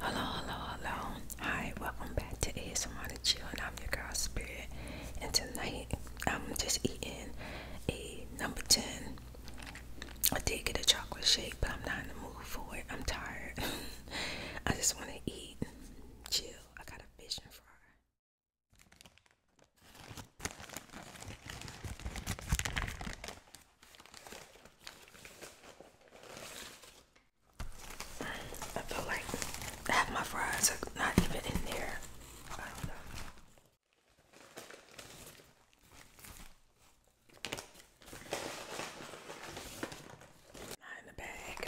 Hello, hello, hello. Hi, welcome back to ASMR to Chill, and I'm your girl Spirit. And tonight, I'm just eating a number 10. I did get a chocolate shake, but I'm not in the mood for it. I'm tired. I just want to eat, chill. I got a vision for her. I feel like half my fries are not even in there. I don't in the bag.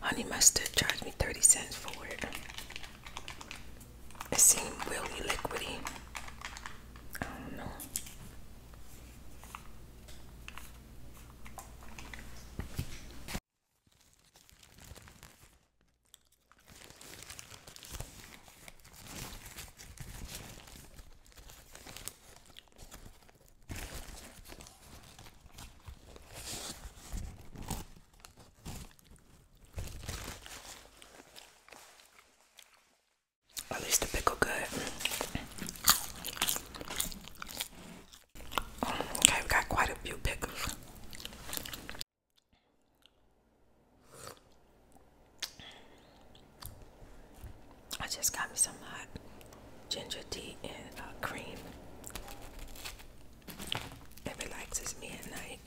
Honey mustard charged me 30 cents for it. It seems really liquidy. I don't know. At least the pickle good. Okay, we got quite a few pickles. I just got me some hot ginger tea and uh, cream. It relaxes me at night.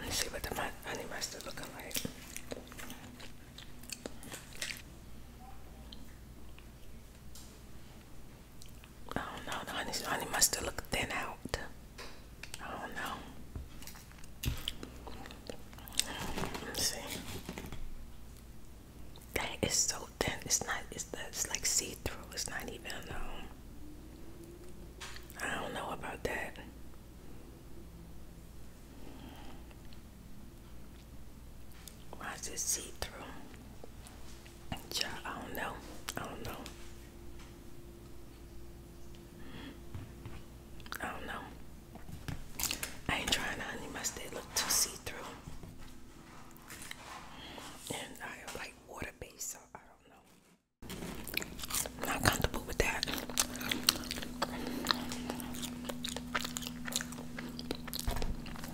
Let's see what the honey mustard looking like. I don't know. The honey, honey mustard look thin out. I don't know. see. That is so thin. It's not. It's it's like see through. It's not even. Um, I don't know about that. Why is it see through? Yeah, I don't know. I don't know. I don't know. I ain't trying to honey mustard look too see through. And I have like water based, so I don't know. I'm not comfortable with that.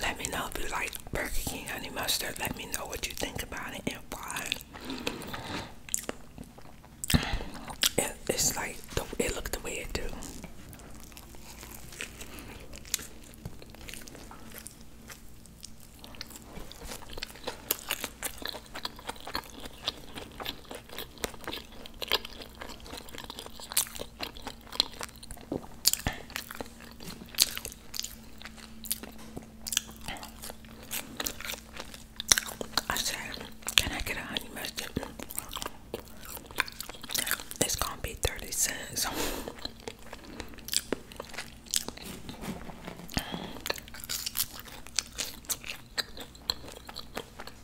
Let me know if you like Burger King honey mustard. Let me know what you think about it and why. it's like it looked the way it do. I said, Can I get a honey mustard? It's gonna be 30 cents.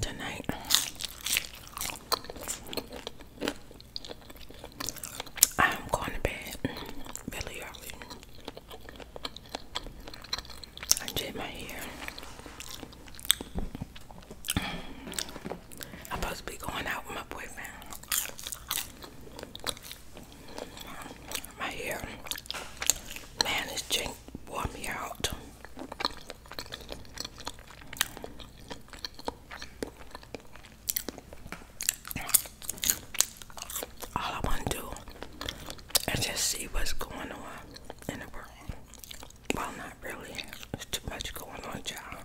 Tonight, I'm going to bed really early. I did my hair. I'm supposed to be going out with my boyfriend. My hair Man, this drink wore me out. All I want to do is just see what's going on in the world. Well, not really. There's too much going on, child.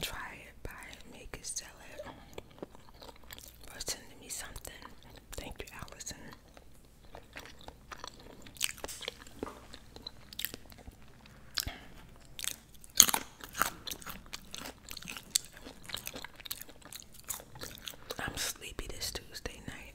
Try it, buy it, make it, sell it. Or send me something. Thank you, Allison. I'm sleepy this Tuesday night.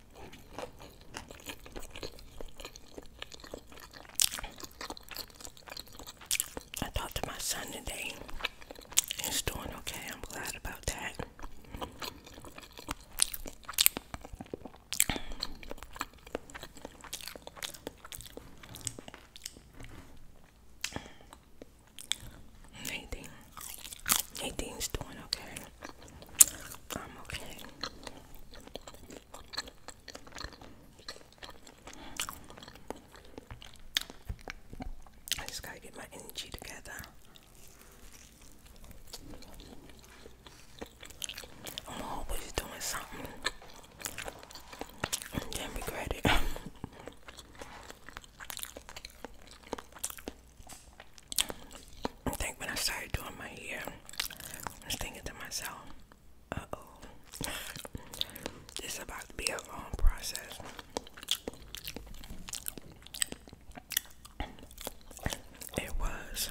I talked to my son today. He's doing okay. I'm glad about that. Nathan. Nathan's doing okay. I'm okay. just gotta get my energy together. I'm always doing something and then regret it. I think when I started doing my hair, I was thinking to myself, uh oh, this is about to be a long process. It was.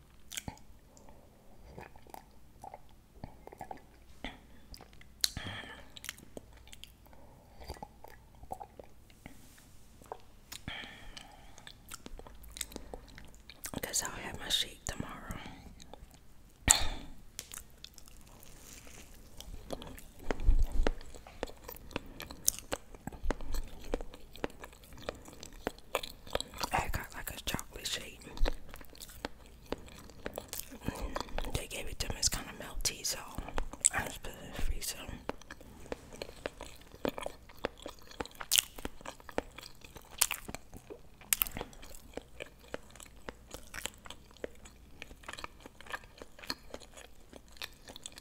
because I'll have my shake tomorrow. I got like a chocolate shake. They gave it to me, as kind of melty, so I just put it in the freezer.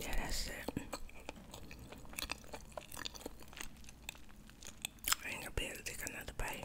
Yeah, that's it. I ain't gonna be able to take another bite.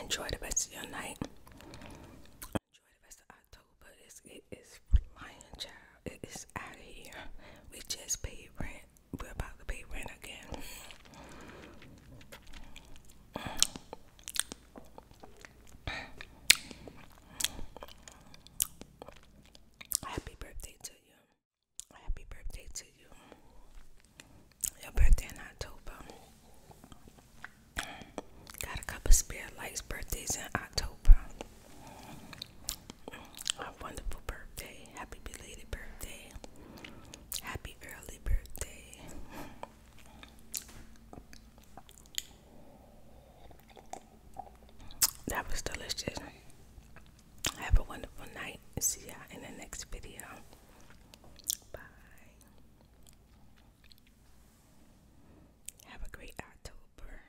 Enjoy the rest of your night. Enjoy the rest of October. It's, it is child. It is out of here. We just paid rent. We're about to pay rent again. Happy birthday to you. Happy birthday to to Your birthday in October. Got a couple spare lights birthdays in October. A wonderful birthday. Happy belated birthday. Happy early birthday. That was delicious. Have a wonderful night. See y'all in the next video. Bye. Have a great October.